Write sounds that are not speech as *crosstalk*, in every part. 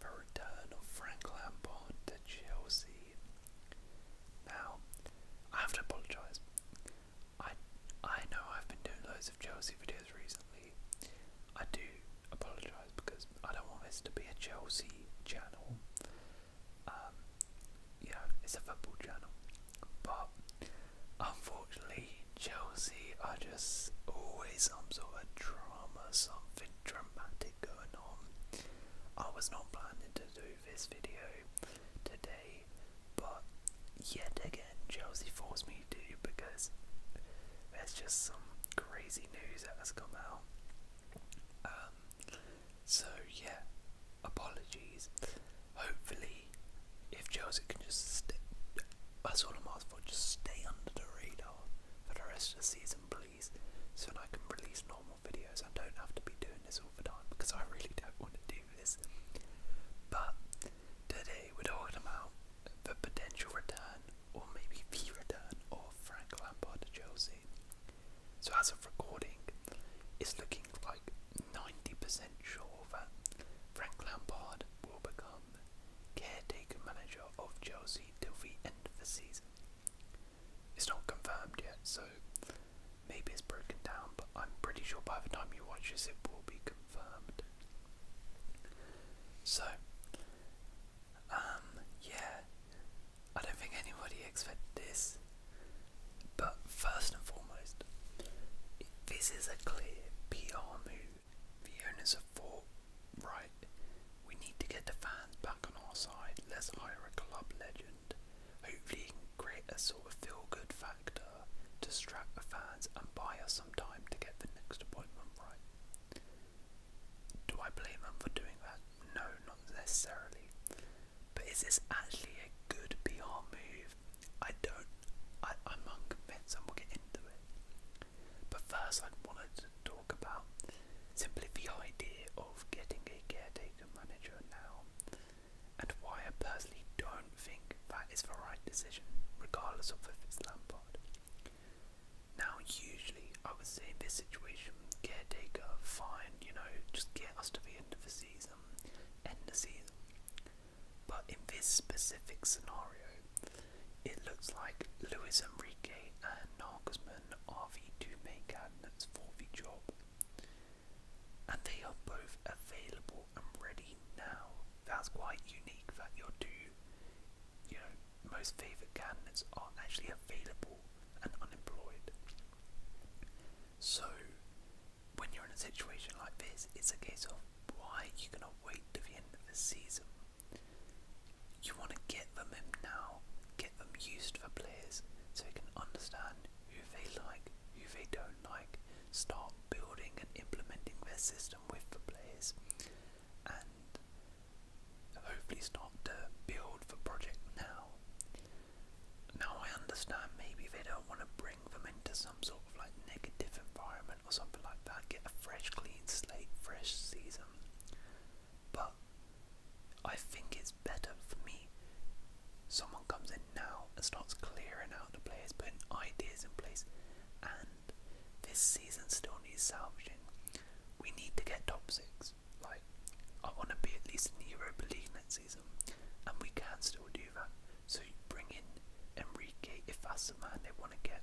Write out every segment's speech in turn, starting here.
the return of Frank Lampard to Chelsea. Now, I have to apologise. I I know I've been doing loads of Chelsea videos recently. I do apologise because I don't want this to be a Chelsea channel. Um, you know, it's a football channel. But unfortunately, Chelsea are just always some sort of drama, something dramatic going on. I was not planning to do this video today, but yet again, Josie forced me to because there's just some crazy news that has come out. Um, so, yeah, apologies. Hopefully, if Josie can just stay, that's all I'm asking for, just stay under the radar for the rest of the season, please, so that I can release normal videos. I don't have to be doing this all the time because I really don't want to do this. But today we're talking about the potential return, or maybe the return, of Frank Lampard to Chelsea. So as of recording, it's looking like 90% sure that Frank Lampard will become caretaker manager of Chelsea till the end of the season. It's not confirmed yet, so maybe it's broken down, but I'm pretty sure by the time you watch this, it will be confirmed. So, um, yeah, I don't think anybody expected this, but first and foremost, this is a clear PR move the owners a thought, right, we need to get the fans back on our side. Let's hire a club legend. Hopefully, he can create a sort of feel good factor distract the fans and buy us some time to get the next appointment right. Do I blame them for doing that? No, not necessarily. But is this actually a good PR move? I don't. I, I'm unconvinced, and we'll get into it. But first, I wanted to talk about simply the idea of getting a caretaker manager now and why I personally don't think that is the right decision, regardless of if it's Lampard. Now, usually, I would say this situation, caretaker, fine, you know, just get us to the end of the season, end the season. But in this specific scenario, it looks like Luis Enrique and Nagelsmann are the two main candidates for the job. And they are both available and ready now. That's quite unique that your two, you know, most favourite candidates are actually available and unemployed. So, when you're in a situation like this, it's a case of why you're gonna wait to the end of the season. You want to get them in now, get them used to the players so they can understand who they like, who they don't like, start building and implementing their system with the players, and hopefully start to build the project now. Now, I understand maybe they don't want to bring them into some sort of like negative environment tournament or something like that, get a fresh, clean slate, fresh season. But I think it's better for me. Someone comes in now and starts clearing out the players, putting ideas in place, and this season still needs salvaging. We need to get top six. Like, I want to be at least in the Europa League next season. And we can still do that. So you bring in Enrique if that's the man they want to get.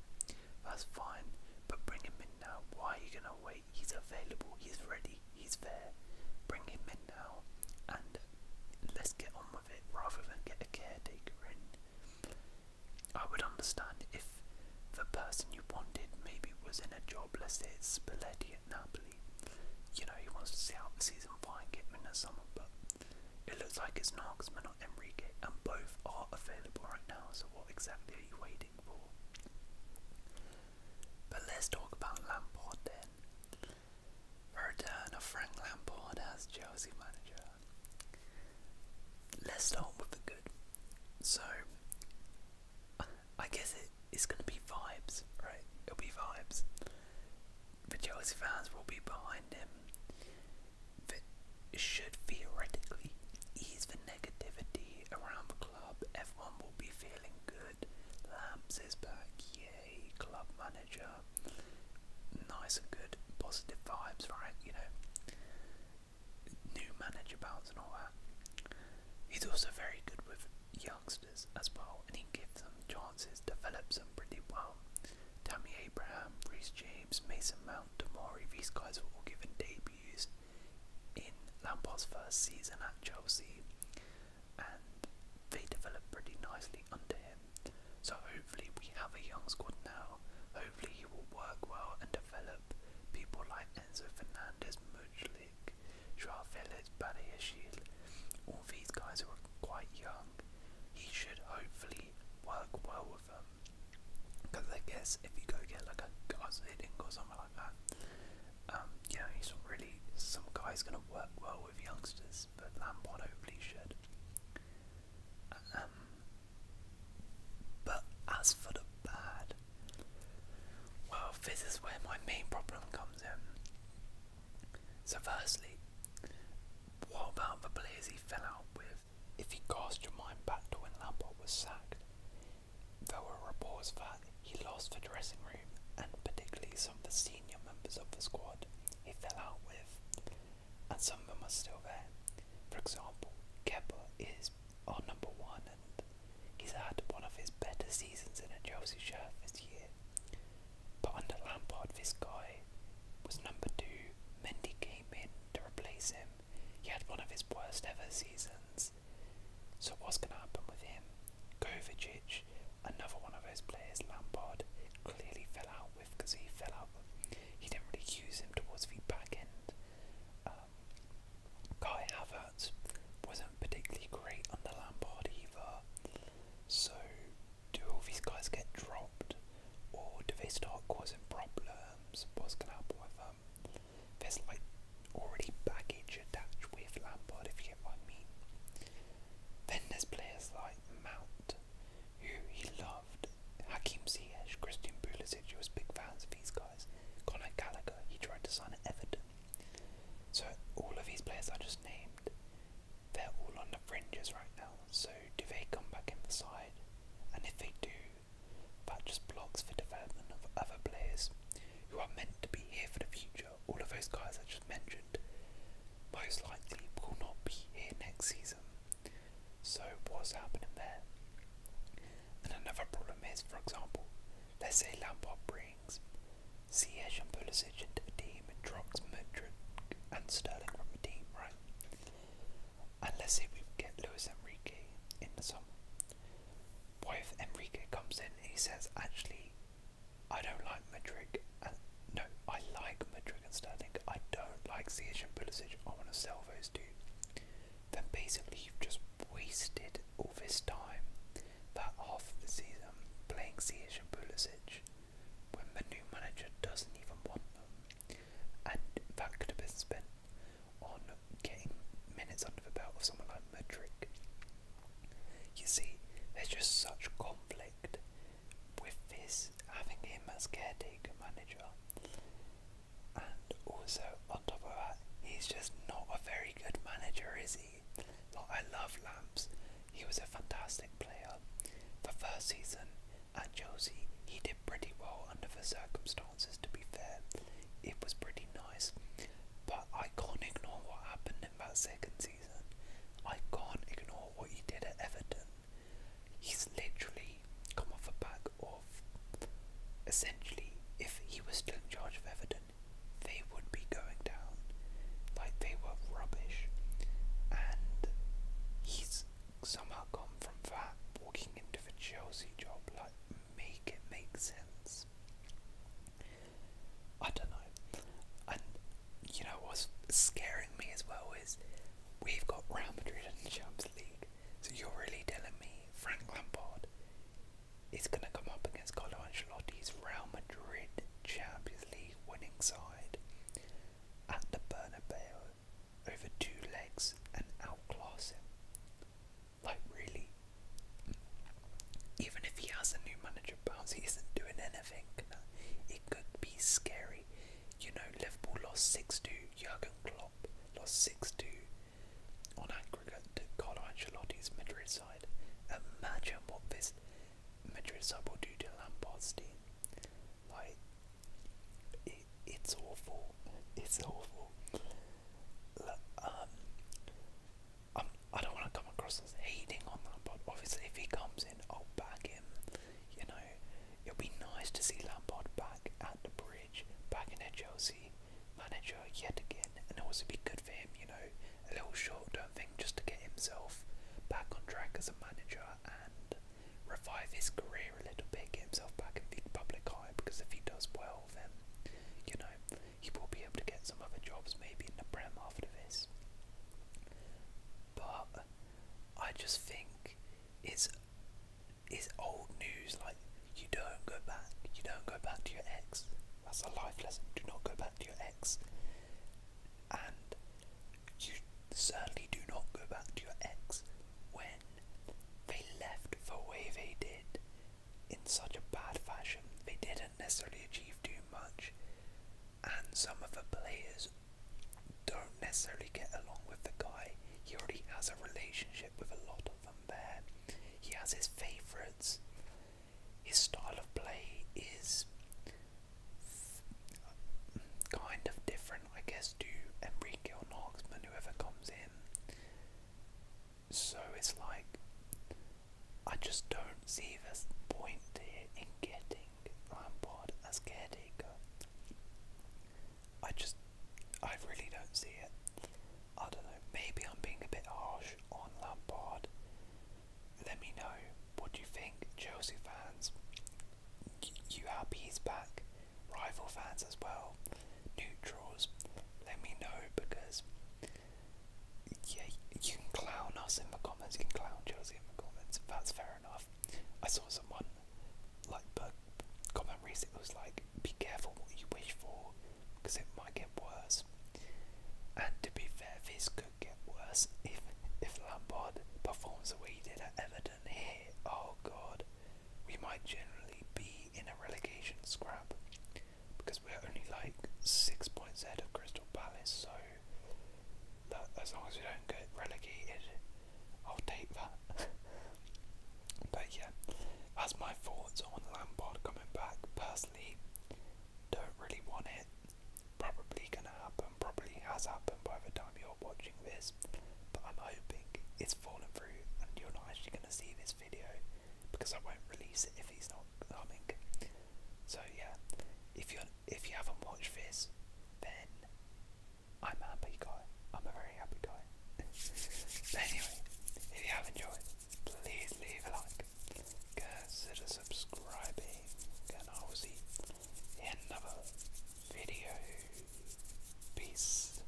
That's fine. But bring him in now. Why are you gonna wait? He's available. He's ready. He's there. Bring him in now, and let's get on with it rather than get a caretaker in. I would understand if the person you wanted maybe was in a job. Let's it's Spalletti at Napoli. You know he wants to see out the season, fine. get rid of someone? But it looks like it's Knox, but not Enrique, and both are available right now, so what exactly are you waiting for? But let's talk about Lampard then. return of Frank Lampard as Chelsea manager. Let's start with the good. So, I guess it's going to be vibes, right? It'll be vibes the Chelsea fans will be behind him. That should theoretically ease the negativity around the club. Everyone will be feeling good. Lamps is back, yay, club manager. Nice and good, positive vibes, right? You know, new manager bounce and all He's also very good with young youngsters as well, and he gives them chances, develops them pretty well. Tammy Abraham, Reese James, Mason Mount, Damari, these guys were all given debuts in Lampard's first season at Chelsea, and they developed pretty nicely under him. So hopefully we have a young squad now. Hopefully he will work well and develop people like Enzo Fernandez, Mujlik, Joao Felix, Badiashil, all these guys who are quite young, he should hopefully work well with them. Because I guess if you go get like a Garziding or something like that, um, he's not really, some guy's going to work well with youngsters, but Lampard hopefully should. Um, but as for the bad, well, this is where my main problem comes in. So, firstly, what about the players he fell out with? If you cast your mind back to when Lampard was sacked, there were reports that he lost the dressing room and particularly some of the senior members of the squad he fell out with, and some of them are still there. For example, Kepa is our number one and He's had one of his better seasons in a Chelsea shirt this year. But under Lampard, this guy was number two. Mendy came in to replace him. He had one of his worst ever seasons. So what's going to happen with him? Kovacic, another one of those players Lampard clearly fell out with because he fell out. He didn't really use him towards the back end. Um, Kai Havertz wasn't particularly great under Lampard either. So, do all these guys get dropped, or do they start causing problems? What's going to happen with them? There's like already baggage attached with Lampard, if you get what I mean. Then there's players like Mount, who he loved. Hakim Ziyech, Christian Pulisic, he was big fans of these guys. Conor Gallagher, he tried to sign at Everton. So all of these players I just named, they're all on the fringes right now. So do they come back in the side? And if they do, that just blocks the development of other players who are meant to be here for the future. All of those guys I just mentioned most likely will not be here next season. So what's happening there? And another problem is, for example, let's say Lampard Breen legs. Ziyech and Pulisic into the team and dropped Mudrick and Sterling from the team, right? And let's say we get Luis Enrique in the summer. Boy, if Enrique comes in he says, actually, I don't like Mudrick and no, I like Mudrick and Sterling. I don't like Ziyech and Pulisic. I want to sell those two then basically you've just wasted all this time, that half the season, playing Ziyech and Pulisic when the new manager doesn't even want them. And that could have been spent on getting minutes under the belt of someone like Madrid. You see, there's just such conflict with this having him as caretaker manager and also, on top of that, he's just not a very good manager, is he? Like, I love Lamps. He was a fantastic player. The first season at Josie, he did pretty well under the circumstances, to be fair. It was pretty nice. But I can't ignore what happened in that second season. I can't ignore what he did at Everton. He's literally come off a back of off. Essentially, if he was still in charge of Everton, they would be going down. Like they were rubbish. And he's somehow gone from that walking into the Chelsea job. Like, make it make sense. I don't know. And you know what's scaring me as well is we've got Real Madrid in the Champions League. So you're really telling me Frank Lampard is going to come up against Carlo Ancelotti's Real Madrid Champions League winning side at the Bernabeu over two legs and outclass him? Like, really? Even if he has a new manager bounce, he isn't doing anything. It could be scary. You know, Liverpool lost 6 2, Jurgen Klopp lost 6 2 on aggregate to Carlo Ancelotti's Madrid side. Imagine what this Madrid side will do to Lampard's team. Like, it's awful. It's awful. um, I'm, I i do not want to come across as hating on Lampard. Obviously, if he comes in, I'll back him. You know, it'll be nice to see Lampard back at the Bridge. Bridge bagging a Chelsea manager yet again, and it was a be good for him, you know, a little short-term thing just to get himself back on track as a manager and revive his career a little bit, get himself back in the public eye. Because if he does well, then you know he will be able to get some other jobs, maybe in the Prem after this. But I just think it's is old news. Like you don't go back. You don't go back to your ex. That's a life lesson. Do not go back to your ex. And you certainly do not go back to your ex when they left the way they did in such a bad fashion. They didn't necessarily achieve too much, and some of the players don't necessarily get along with the guy. He already has a relationship with a lot of them there. He has his favourites. His style of play is kind of different, I guess, to Enrique or Knoxman, whoever comes in. So it's like, I just don't see this point here in getting Lampard as caretaker. I just, I really don't see it. I don't know. Maybe I'm being a bit harsh on Lampard. Let me know what do you think, Chelsea fans. You happy he's back? Rival fans as well, neutrals. Let me know because yeah, you can clown us in the comments. You can clown Chelsea in the comments. That's fair enough. I saw someone like but comment recently it was like be careful what you wish for because it might get worse. And to be fair, this could get worse if if Lampard performs the way he did at Everton here. Oh god, we might generally be in a relegation scrap because we're only like six points ahead of Crystal Palace, so as long as we don't get relegated, I'll take that. *laughs* but yeah, that's my thoughts on Lampard coming back. Personally, don't really want it. Probably gonna happen, probably has happened by the time you're watching this. But I'm hoping it's fallen through and you're not actually gonna see this video because I won't release it if he's not coming. So yeah, if you if you haven't watched this, then I'm a happy guy. I'm a very happy guy. *laughs* anyway, if you have enjoyed, please leave a like. Consider subscribing and I will see you in another video. Peace.